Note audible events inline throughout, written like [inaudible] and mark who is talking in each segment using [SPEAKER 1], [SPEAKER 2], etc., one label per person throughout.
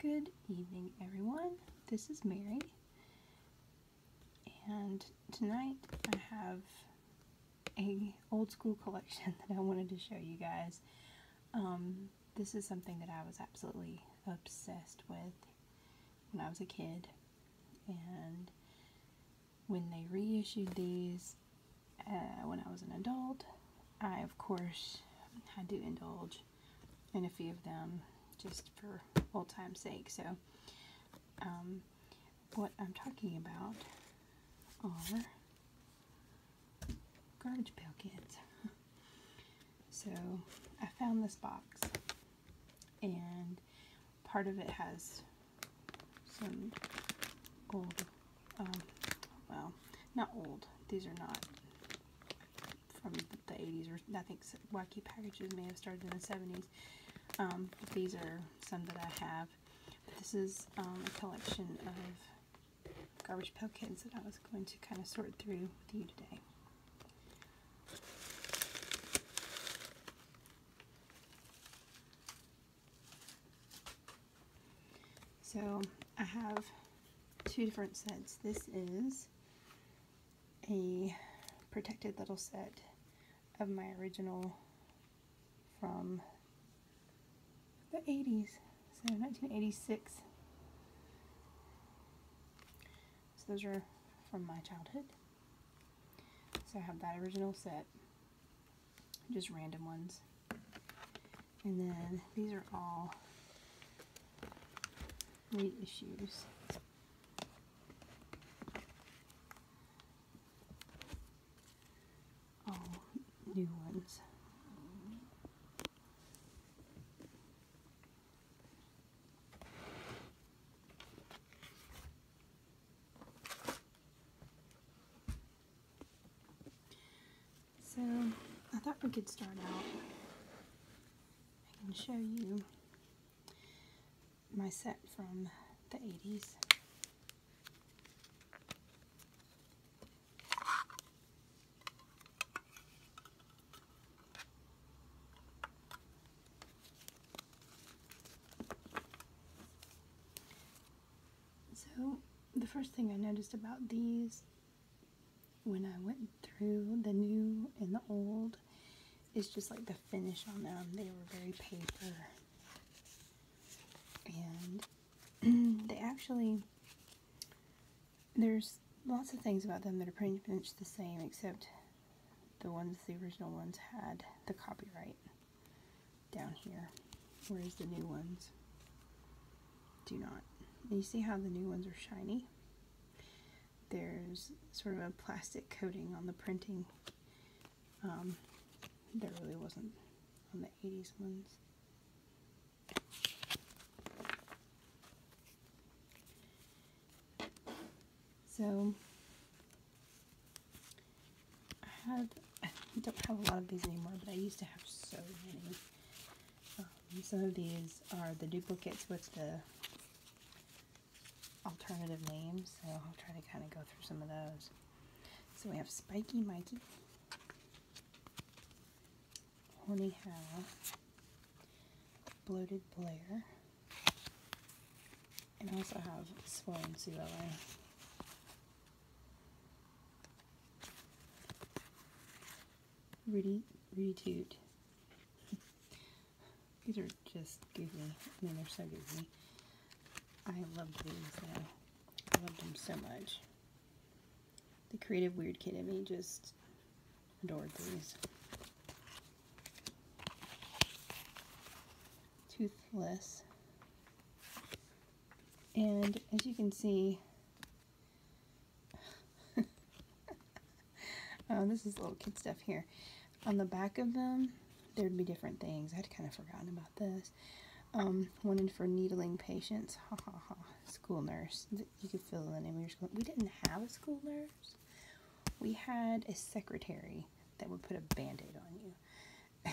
[SPEAKER 1] Good evening, everyone. This is Mary, and tonight I have a old school collection [laughs] that I wanted to show you guys. Um, this is something that I was absolutely obsessed with when I was a kid, and when they reissued these uh, when I was an adult, I of course had to indulge and a few of them just for old time's sake. So, um, what I'm talking about are garbage pail kids. [laughs] so, I found this box, and part of it has some old, um, well, not old. These are not from the 80s, or I think wacky packages may have started in the 70s. Um, these are some that I have. This is um, a collection of garbage pail kids that I was going to kind of sort through with you today. So I have two different sets. This is a protected little set of my original from the 80s, so 1986. So those are from my childhood. So I have that original set, just random ones. And then these are all reissues. All new ones. So I thought we could start out. I can show you my set from the 80s. So the first thing I noticed about these when I went through the new and the old, it's just like the finish on them. They were very paper. And [clears throat] they actually, there's lots of things about them that are pretty much the same, except the ones, the original ones had the copyright down here, whereas the new ones do not. you see how the new ones are shiny? There's sort of a plastic coating on the printing. Um, there really wasn't on the 80s ones. So I had I don't have a lot of these anymore, but I used to have so many. Um, some of these are the duplicates with the alternative names, so I'll try to kind of go through some of those. So we have Spiky Mikey, Horny Hal, Bloated Blair, and I also have Swollen Sue Rudy, Rudy Toot. these are just goofy. I mean, they're so goofy. I love these, I loved them so much. The creative weird kid in me just adored these. Toothless. And as you can see, [laughs] oh, this is little kid stuff here. On the back of them, there'd be different things. I'd kind of forgotten about this. one um, for needling patients. Ha ha ha. School nurse. You could fill in. the name. we didn't have a school nurse. We had a secretary that would put a band-aid on you.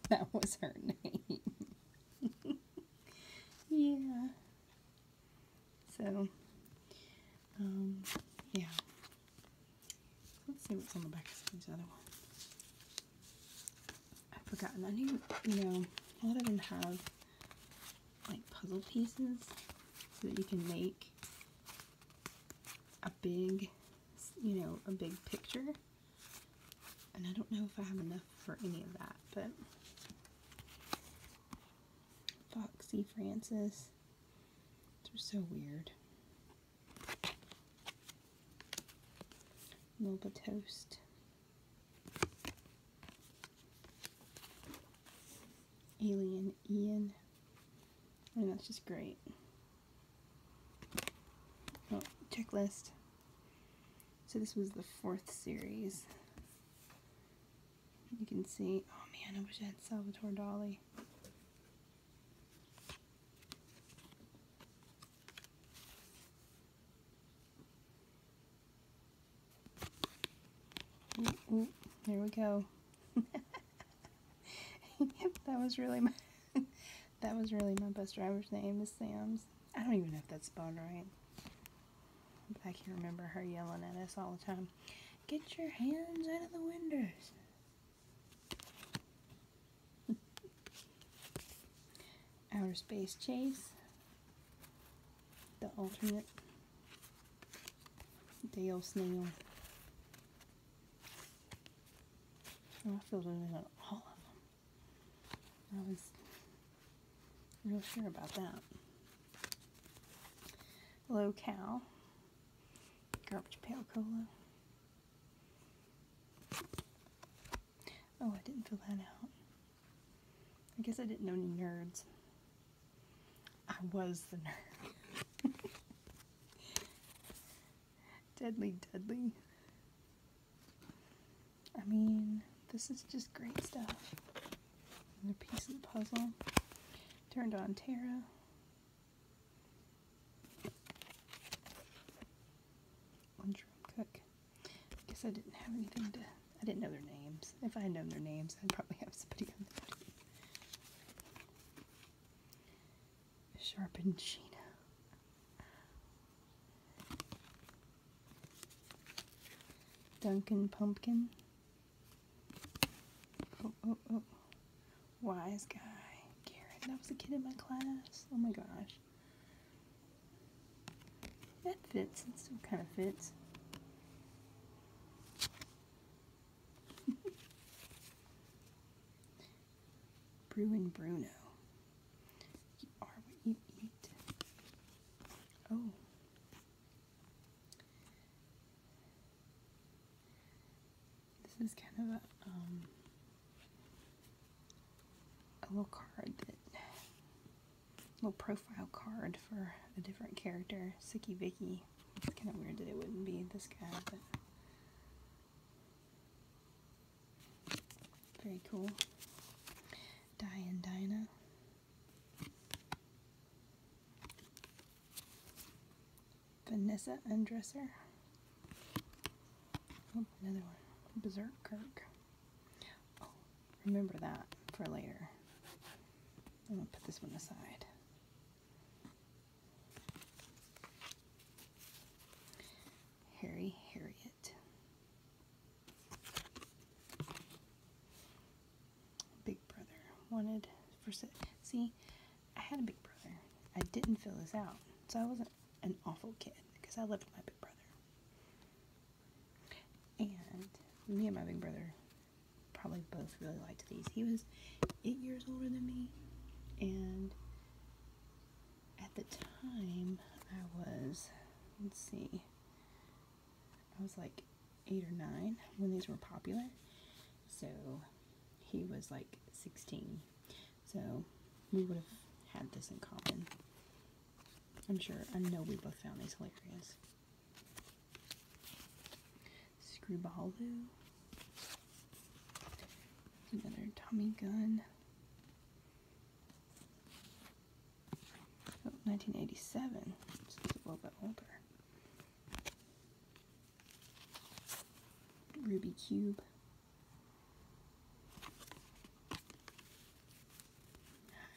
[SPEAKER 1] [laughs] that was her name. [laughs] yeah. So, um, yeah. Let's see what's on the back of these other ones. I've forgotten. I need, you know, a lot of them have like puzzle pieces so that you can make a big, you know, a big picture. And I don't know if I have enough for any of that, but Foxy Francis. They're so weird. Moba Toast. Alien Ian. And that's just great. Oh, checklist. So this was the fourth series. You can see, oh man, I wish I had Salvatore Dali. Ooh, there we go. [laughs] that was really my [laughs] that was really my bus driver's name is Sam's. I don't even know if that's spelled right. I can remember her yelling at us all the time. Get your hands out of the windows. [laughs] Outer Space Chase. The alternate. Dale Snail. Oh, I feel in all of them. I was real sure about that. Low cow. Garbage Pail Cola. Oh, I didn't fill that out. I guess I didn't know any nerds. I was the nerd. [laughs] Deadly deadly. I mean, this is just great stuff. Another piece of the puzzle. Turned on Terra. Lunchroom cook. I guess I didn't have anything to. I didn't know their names. If I had known their names, I'd probably have somebody on the team. Sharpened Sheena. Dunkin' Pumpkin. Oh, oh, oh. Wise guy. That was a kid in my class. Oh my gosh. That fits. It still kind of fits. [laughs] Bruin Bruno. You are what you eat. Oh. This is kind of a, um, little card little profile card for a different character, Sicky Vicky. It's kind of weird that it wouldn't be this guy, but very cool. Diane Dinah. Vanessa Undresser. Oh, another one. Berserk Kirk. Oh, remember that for later. I'm going to put this one aside. Harry Harriet. Big brother wanted for see, I had a big brother. I didn't fill this out, so I wasn't an awful kid because I loved my big brother. And me and my big brother probably both really liked these. He was eight years older than me, and at the time I was, let's see, I was like eight or nine when these were popular. So he was like 16. So we would have had this in common. I'm sure, I know we both found these hilarious. Screwball, Screwbaloo. Another Tommy gun. 1987. This a little bit older. Ruby Cube.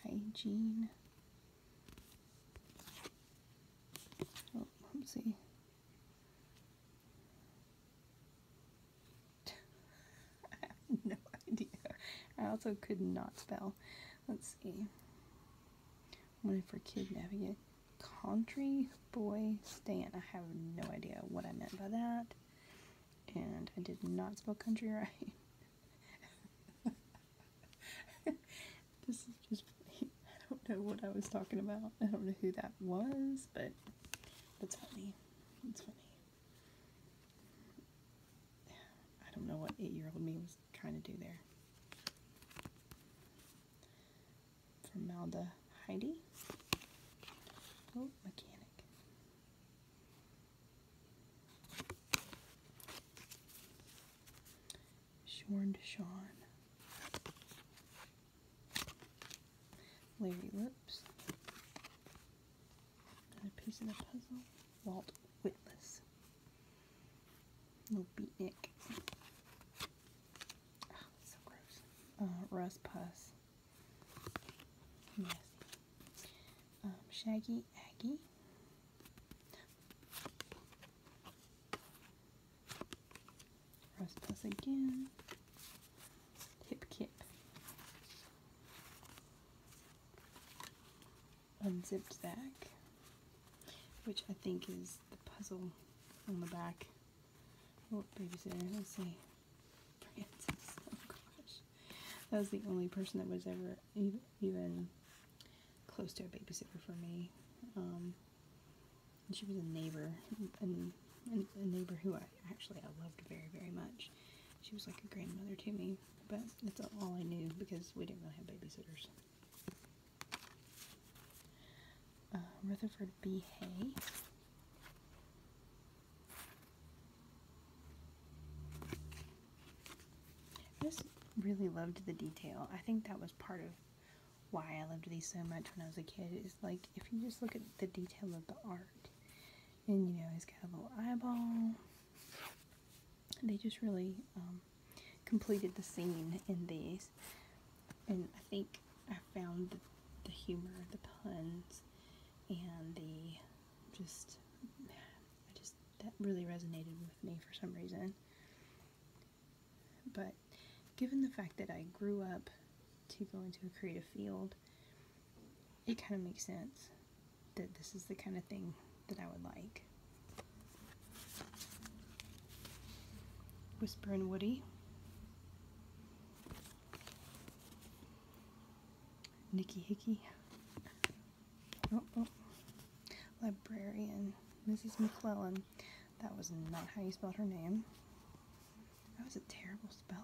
[SPEAKER 1] Hygiene. Oh, let's see. [laughs] no idea. I also could not spell. Let's see. Wanted for kidnapping it. Country boy stand. I have no idea what I meant by that. And I did not spell country [laughs] right. [laughs] this is just I don't know what I was talking about. I don't know who that was, but that's funny. It's funny. [sighs] I don't know what eight-year-old me was trying to do there. Formalda Heidi. Oh, mechanic. Shorn Deshawn. Larry Lips. Another piece of the puzzle. Walt Whitless. No beatnik. Oh, so gross. Uh, Russ Puss. Nasty. Um, Shaggy Aggie. Russ Puss again. Hip Kip unzipped back, which I think is the puzzle on the back. Oh, babysitter? Let's see. Francis. Oh gosh. That was the only person that was ever even close to a babysitter for me. Um, she was a neighbor, and a neighbor who I actually I loved very, very much. She was like a grandmother to me but that's all I knew because we didn't really have babysitters. Uh, Rutherford B. Hay. I just really loved the detail. I think that was part of why I loved these so much when I was a kid. Is like if you just look at the detail of the art, and you know, he's got a little eyeball they just really um, completed the scene in these. And I think I found the, humor, the puns, and the just, just, that really resonated with me for some reason. But given the fact that I grew up to go into a creative field, it kind of makes sense that this is the kind of thing that I would like. Whisper and Woody. Nikki Hickey. Oh, oh. Librarian. Mrs. McClellan. That was not how you spelled her name. I was a terrible speller.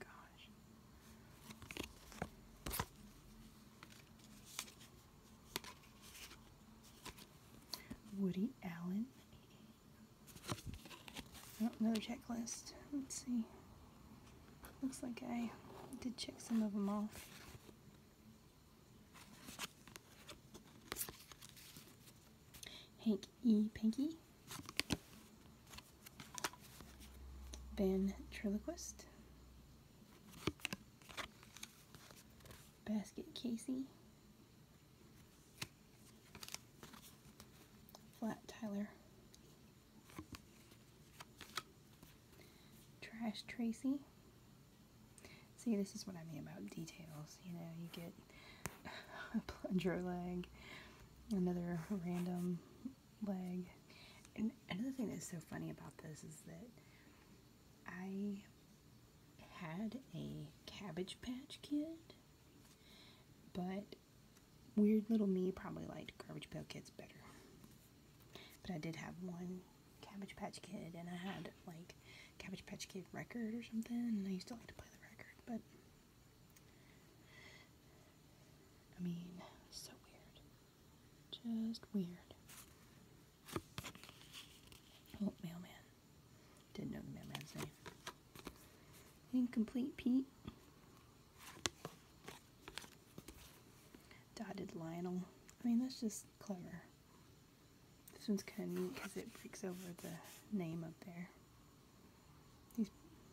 [SPEAKER 1] Gosh. Woody Allen. Oh, another checklist. Let's see. Looks like I did check some of them off. Hank E. Pinky. Ventriloquist, Basket Casey, Flat Tyler, Trash Tracy. See, this is what I mean about details. You know, you get [laughs] a plunger leg, another random leg. And another thing that's so funny about this is that I had a Cabbage Patch Kid, but weird little me probably liked Garbage Pail Kids better. But I did have one Cabbage Patch Kid, and I had like Cabbage Patch Kid record or something, and I used to like to play the record, but I mean, so weird. Just weird. Oh, mailman. Didn't know the mailman's name. Incomplete Pete. Dotted Lionel. I mean, that's just clever. This one's kind of neat because it breaks over the name up there. He's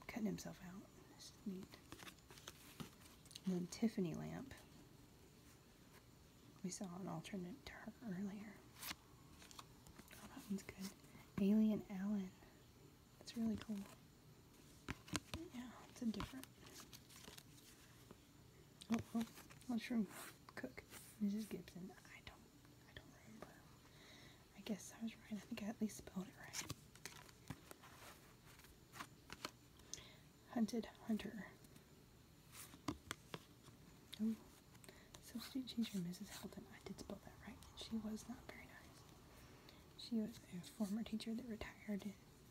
[SPEAKER 1] cutting himself out. This is neat. And then Tiffany lamp. We saw an alternate to her earlier. Oh, that one's good. Alien Allen. That's really cool. Yeah, it's a different. Oh, oh, mushroom cook. Mrs. Gibson. I don't, I don't remember. I guess I was right. I think I at least spelled it right. Hunted Hunter. Substitute teacher Mrs. Helton. I did spell that right. She was not very nice. She was a former teacher that retired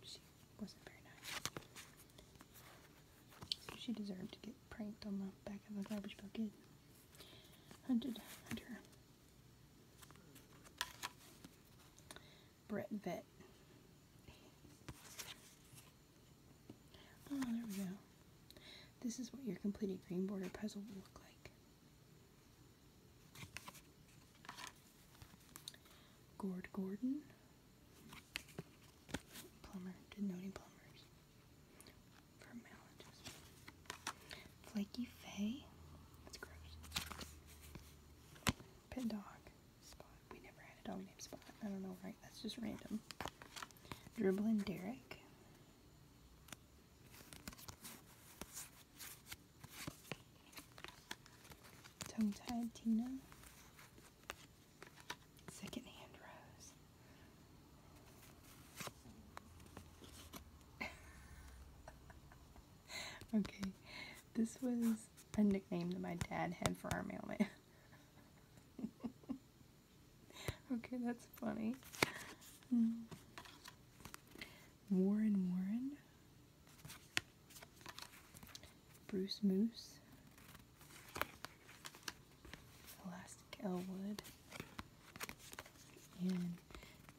[SPEAKER 1] she wasn't very nice. she deserved to get pranked on the back of a garbage bucket. Hunted Hunter. Brett Vet. Oh, there we go. This is what your completed green border puzzle will look like. Gord Gordon. Plumber. Didn't know any plumbers. Flaky Fay. That's gross. Pet dog. We never had a dog named Spot. I don't know, right? That's just random. Dribbling Derek. Tongue-tied Tina. Second-hand Rose. [laughs] [laughs] okay, this was a nickname that my dad had for our mailman. [laughs] okay, that's funny. Hmm. Warren Warren, Bruce Moose, Elastic Elwood, and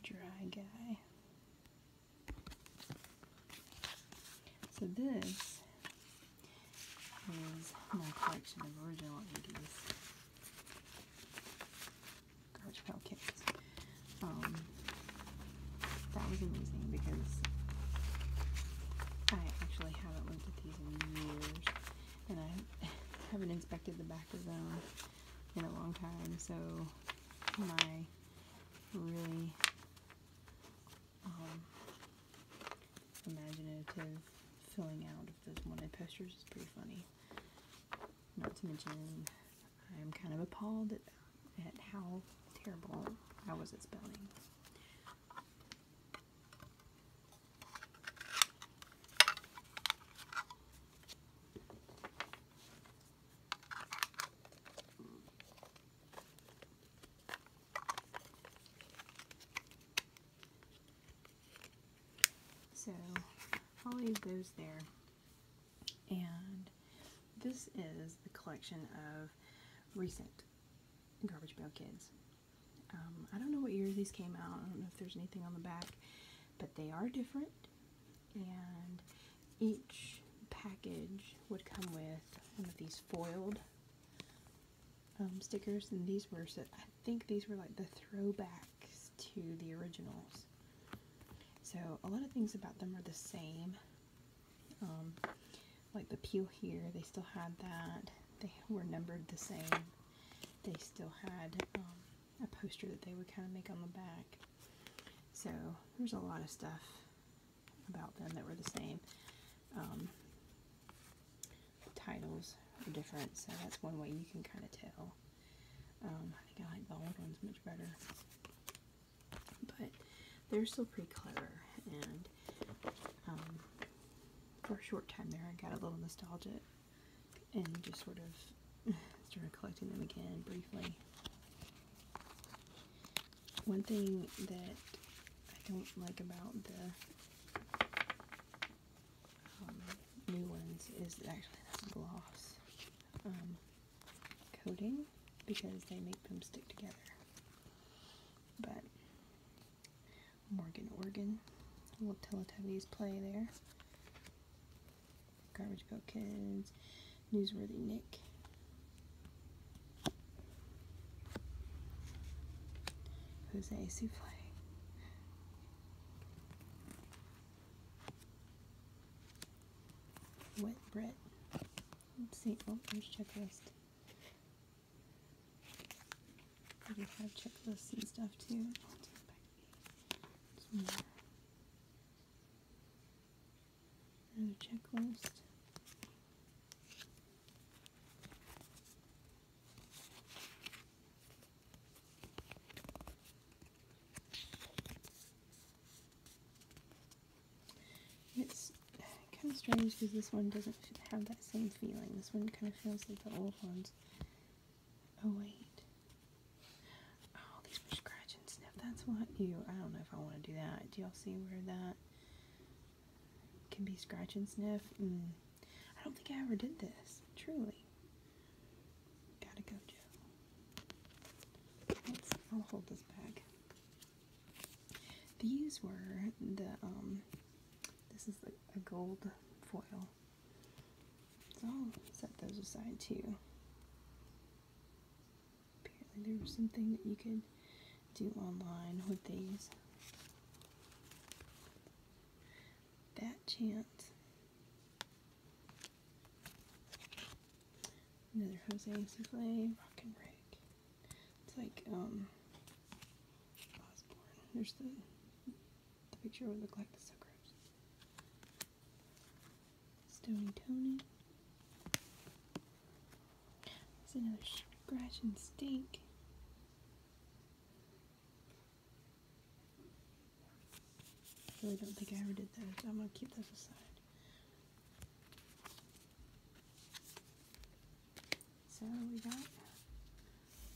[SPEAKER 1] Dry Guy. So this is my collection of original 80s garbage pail kids. that was amazing because I actually haven't looked at these in years and I [laughs] haven't inspected the back of them in a long time so my really um, imaginative filling out of those wanted posters is pretty funny. Not to mention, I'm kind of appalled at, at how terrible I was at spelling. So I'll leave those there. And this is the collection of recent Garbage Pail Kids. Um, I don't know what year these came out. I don't know if there's anything on the back, but they are different and each package would come with one of these foiled um, stickers and these were I think these were like the throwbacks to the originals so a lot of things about them are the same um, like the peel here they still had that they were numbered the same they still had um, a poster that they would kind of make on the back so there's a lot of stuff about them that were the same. Um, titles are different, so that's one way you can kind of tell. Um, I think I like the old ones much better. But they're still pretty clever, and um, for a short time there I got a little nostalgic and just sort of [laughs] started collecting them again briefly. One thing that I don't like about the um, new ones is actually the gloss um, coating because they make them stick together. But Morgan Organ, little Teletubbies play there. Garbage Pail Kids, Newsworthy Nick. Jose Souffle. Wet Brett. Let's see. Oh, there's checklist. I do have checklists and stuff too and checklist. It's kind of strange because this one doesn't have that same feeling. This one kind of feels like the old ones. Oh wait. Oh, these for scratch and sniff. That's what you. I don't know if I want to do that. Do y'all see where that can be scratch and sniff? Mm. I don't think I ever did this. Truly. Gotta go, Joe. I'll hold this bag. These were the, um, this is a gold foil. So set those aside too. Apparently there was something that you could do online with these. That chance. Another Jose Souffle, Rock and Rick. It's like, um, Osborne. There's the, the picture would look like the suckers. Stony Tony. There's another scratch and stink. I really don't think I ever did that. I'm gonna keep those aside. So we got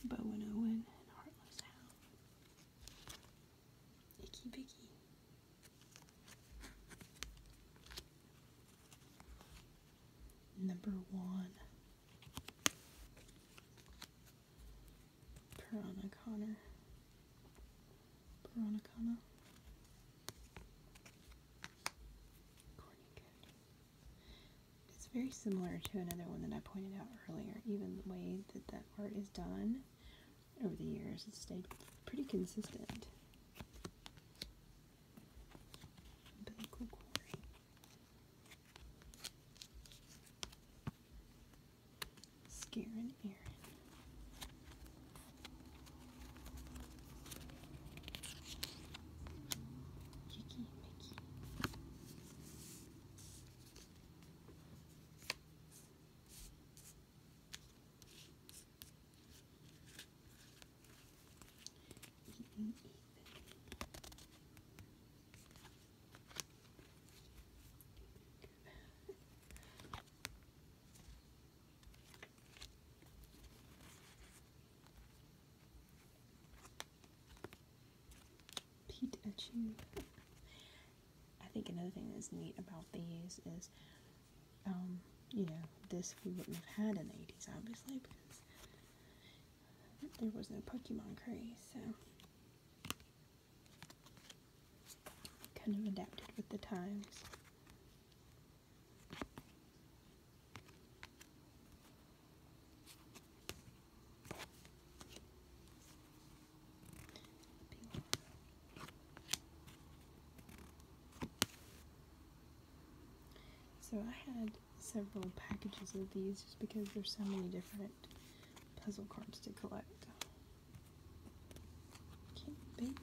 [SPEAKER 1] Bowen Owen and Heartless Hound. Icky Bicky. Number one, Piranha Connor. Piranha Connor. It's very similar to another one that I pointed out earlier, even the way that that art is done over the years. It's stayed pretty consistent. Umbilical Aaron. Even, even. Pete I think another thing that's neat about these is um, you know, this we wouldn't have had in the 80s, obviously, because there was no Pokemon craze, so kind of adapted with the times. So I had several packages of these just because there's so many different puzzle cards to collect. can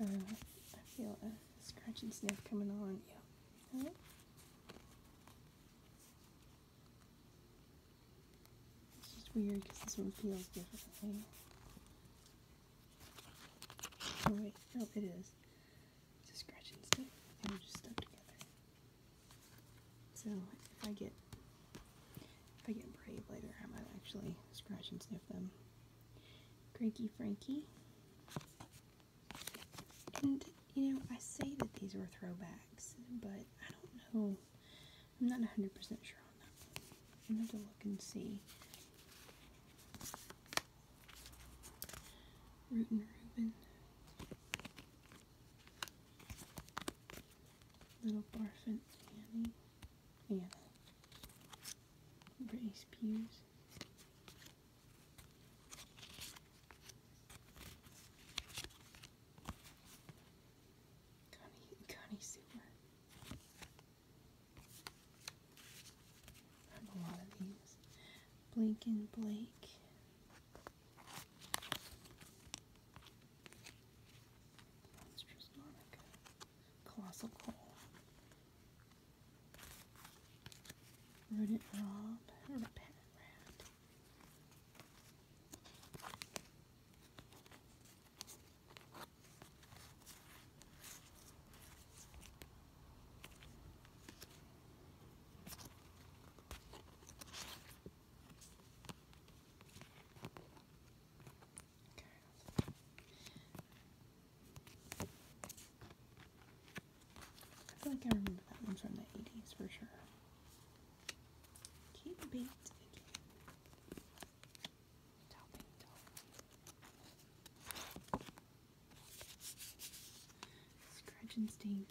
[SPEAKER 1] uh, I feel a scratch and sniff coming on. Yeah. It's just weird because this one feels differently. Oh wait, no, oh, it is. It's a scratch and sniff. They were just stuck together. So if I get if I get brave later, I might actually scratch and sniff them. Cranky Frankie. And, you know, I say that these were throwbacks, but I don't know. I'm not 100% sure on that one. I'm going to look and see. Rootin' Reuben. Little Barfin Annie. Anna. Britney Spears. Connie, Connie Sewer. I have a lot of these. Blink and Blake. Monstrous Monica. Colossal Coal. Rodent Rob, Repentant Rat. I feel like I remember that one from the 80s for sure. Keep beat again. Topping, stink.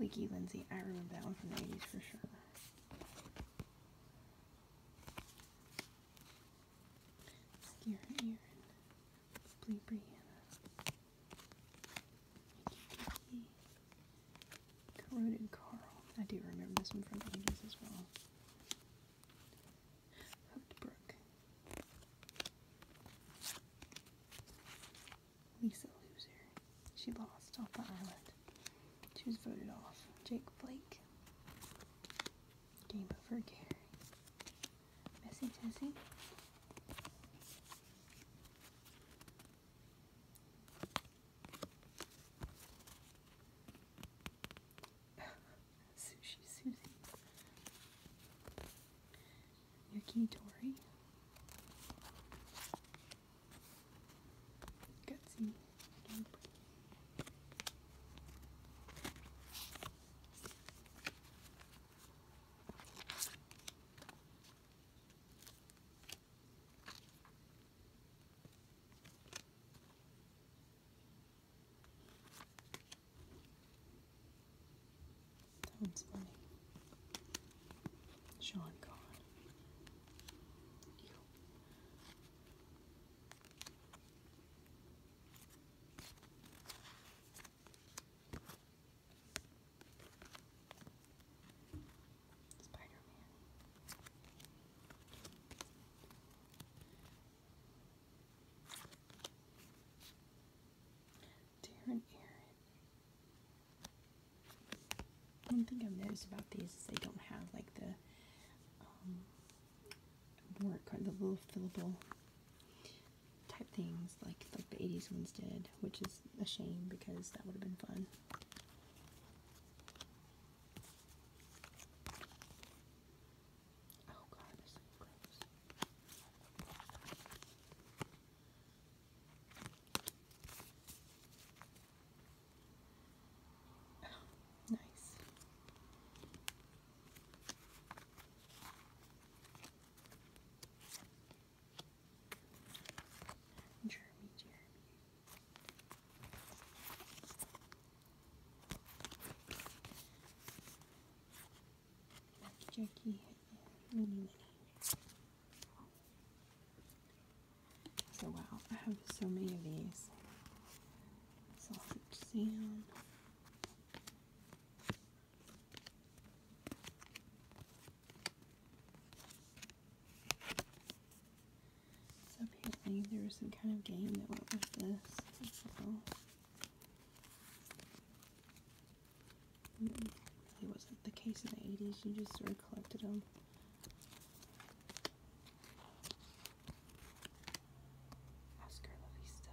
[SPEAKER 1] Leaky Lindsay. I remember that one from the 80s for sure. Sierra Erin, Blue Brianna, Kiki, Carl. I do remember this one from ages as well. Hooked Brook, Lisa Loser. She lost off the island. She was voted off. Jake Blake. Game over, Gary. Messy Tessie. [laughs] Sushi Susie. Yuki Tori. Gutsy. That's funny. Sean Conn. You. Spider-Man. Darren Aaron. One thing I've noticed about these is they don't have like the um, more kind of little fillable type things like like the 80s ones did, which is a shame because that would have been fun. Oh god, this is gross nice. Jeremy, Jeremy. Lucky Jackie, So wow, I have so many of these. So apparently there was some kind of game that went with this as It wasn't the case in the 80s, you just sort them. Oscar La Vista.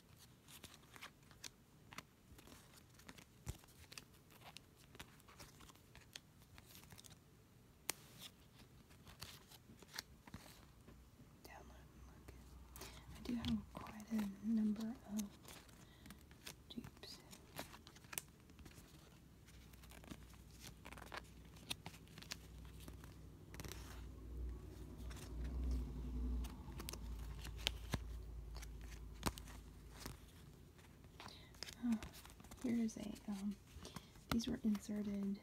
[SPEAKER 1] I do have quite a number of dupes. Oh, here's a, um, these were inserted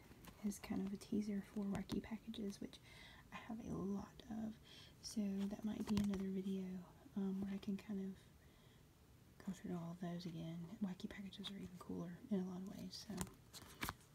[SPEAKER 1] as kind of a teaser for Wacky packages, which I have a lot of, so that might be another video um, where I can kind of go through all of those again. Wacky packages are even cooler in a lot of ways, so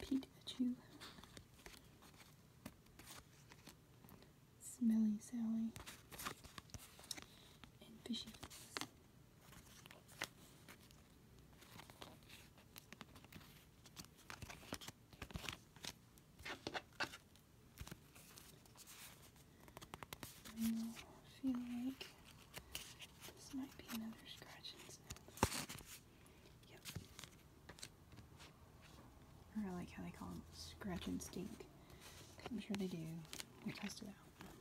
[SPEAKER 1] Pete, you Smelly Sally and fishy foods. I feel like this might be another scratch and sniff. I like how they call them scratch and stink. I'm sure they do. We tested out.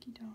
[SPEAKER 1] Turkey Dawn.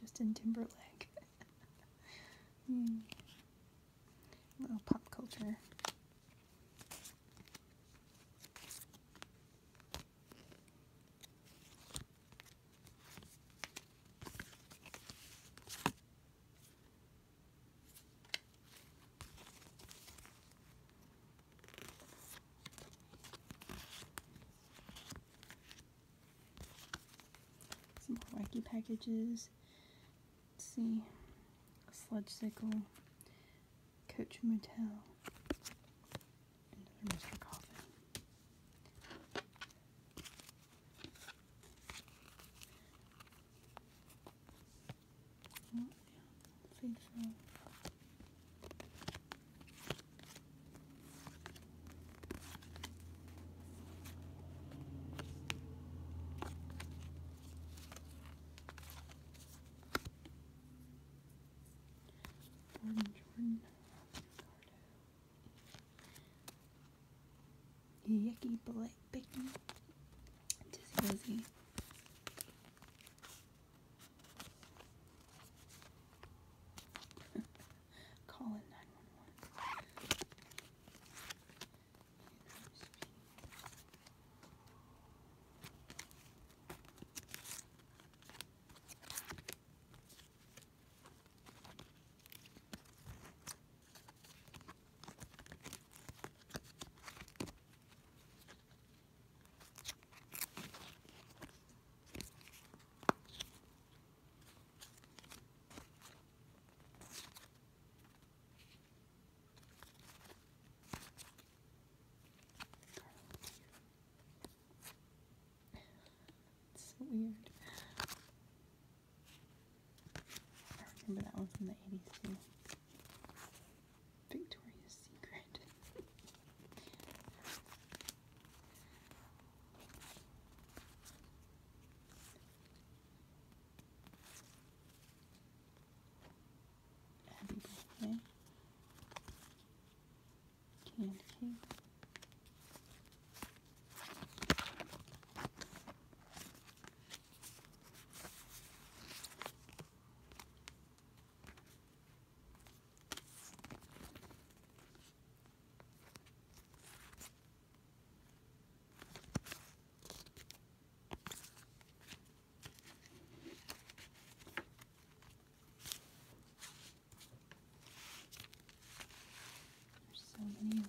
[SPEAKER 1] Justin Timberlake. [laughs] Hmm. Little pop culture. Some more wacky packages. Let's see. Sludge Sickle. Coach Motel. Mr. Coffin. Well, yeah, Jordan, Jordan, Ricardo, Yucky Blake, Bacon, Dizzy Lizzie, [laughs] Call it 911. It's so weird. I remember that one from the 80s too. Victoria's Secret. Happy birthday. Candy cake. There's so many leaves.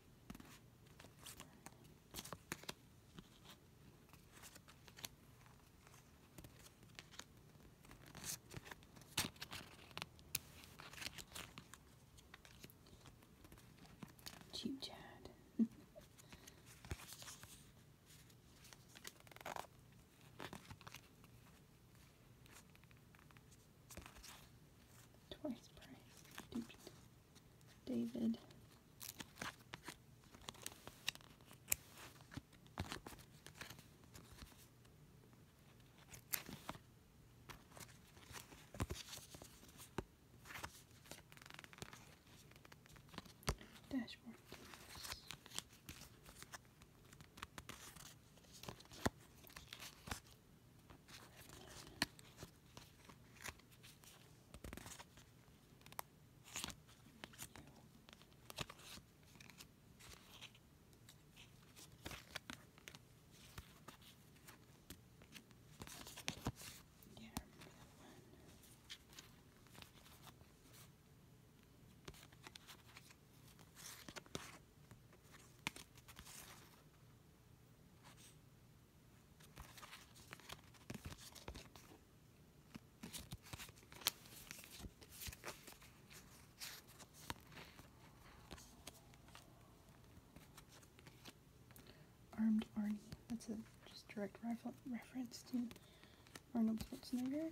[SPEAKER 1] Cheap Chad. Twice price. David. Dashboard. Yeah, I remember that one. Armed Arnie. That's a just direct rifle reference to Arnold Schwarzenegger.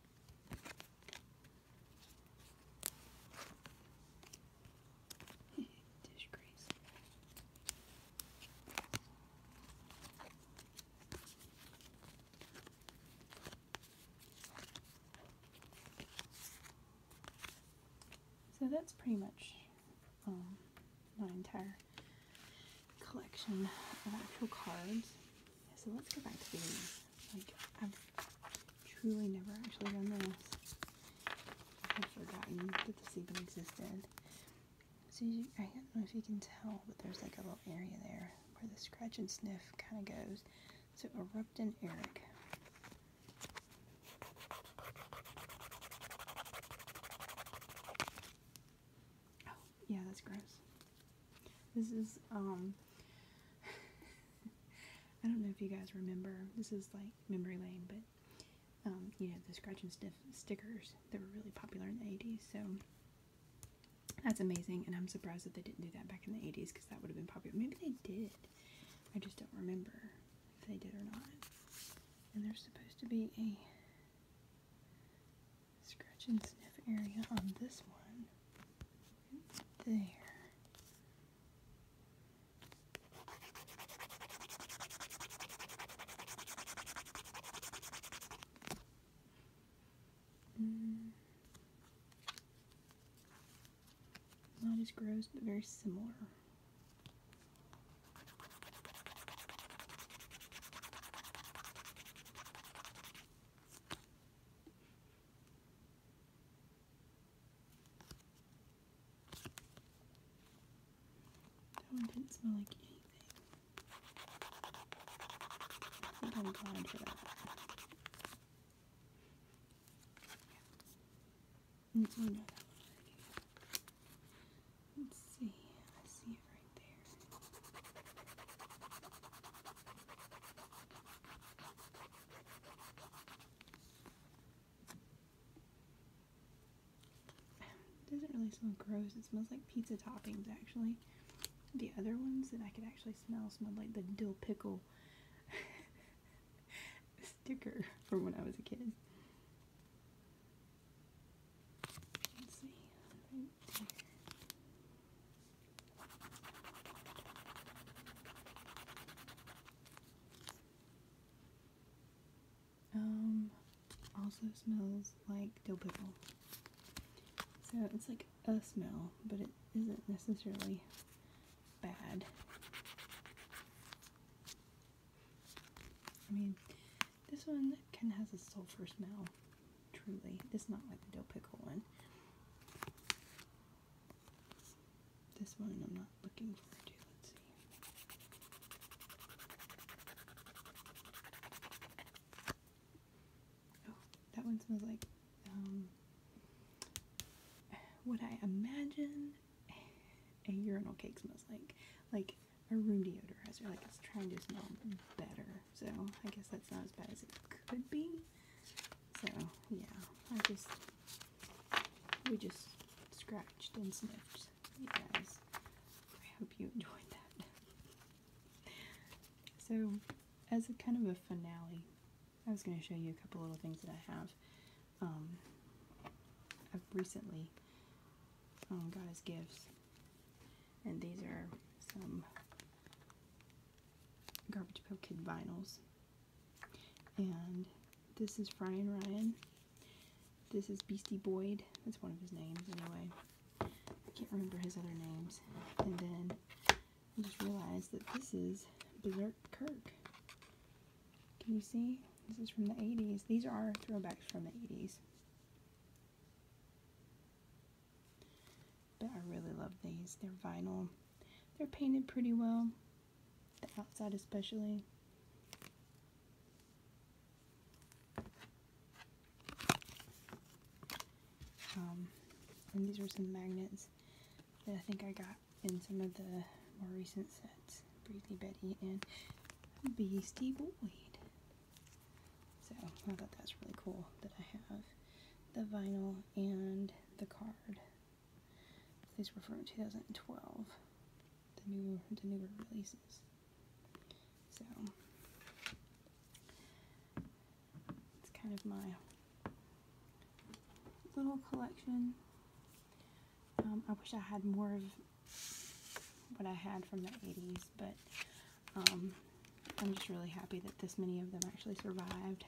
[SPEAKER 1] So that's pretty much um, my entire collection of actual cards. So let's go back to these. Like, I've truly never actually done this. I've forgotten that this even existed. So I don't know if you can tell, but there's like a little area there where the scratch and sniff kind of goes. So erupting Eric. Oh, yeah, that's gross. This is, um, [laughs] I don't know if you guys remember, this is like memory lane, but, um, you know, the scratch and sniff stickers that were really popular in the 80s, so that's amazing, and I'm surprised that they didn't do that back in the 80s, because that would have been popular. Maybe they did. I just don't remember if they did or not. And they're supposed to be a scratch and sniff area on this one. there. Mm. Not as gross, but very similar. That didn't smell like anything. I am glad for that. Mm, oh, Let's see. I see it right it doesn't really smell gross. It smells like pizza toppings, actually. The other ones that I could actually smell smelled like the dill pickle [laughs] sticker from when I was a kid. Um, also smells like dill pickle. So it's like a smell, but it isn't necessarily bad. I mean, this one kind of has a sulfur smell. Truly. It's not like the dill pickle one. This one I'm not looking forward to. Let's see. Oh, that one smells like um, what I imagine a urinal cake smells like. Like a room deodorizer. Like it's trying to smell better so I guess that's not as bad as it could be. So yeah, I just we just scratched and sniffed, you I hope you enjoyed that. so as a kind of a finale, I was going to show you a couple little things that I have. Um, I've recently um, got as gifts, and these are some Garbage Pail Kid vinyls. And this is Brian Ryan. This is Beastie Boyd. That's one of his names, anyway. I can't remember his other names. And then I just realized that this is Berserk Kirk. Can you see? This is from the 80s. These are throwbacks from the 80s. But I really love these. They're vinyl. They're painted pretty well. The outside especially. Um, and these are some magnets that I think I got in some of the more recent sets. Breezy Betty and Beastie Boy. So I thought that's really cool that I have the vinyl and the card. These were from 2012, the new the newer releases. So it's kind of my little collection. Um, I wish I had more of what I had from the 80s, but um, I'm just really happy that this many of them actually survived.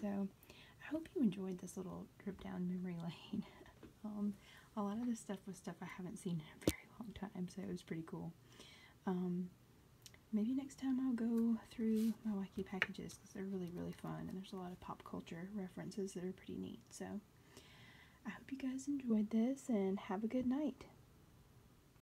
[SPEAKER 1] So I hope you enjoyed this little trip down memory [laughs] lane. Um, a lot of this stuff was stuff I haven't seen in a very long time, so it was pretty cool. Um, maybe next time I'll go through my wacky packages because they're really, really fun and there's a lot of pop culture references that are pretty neat. So I hope you guys enjoyed this and have a good night.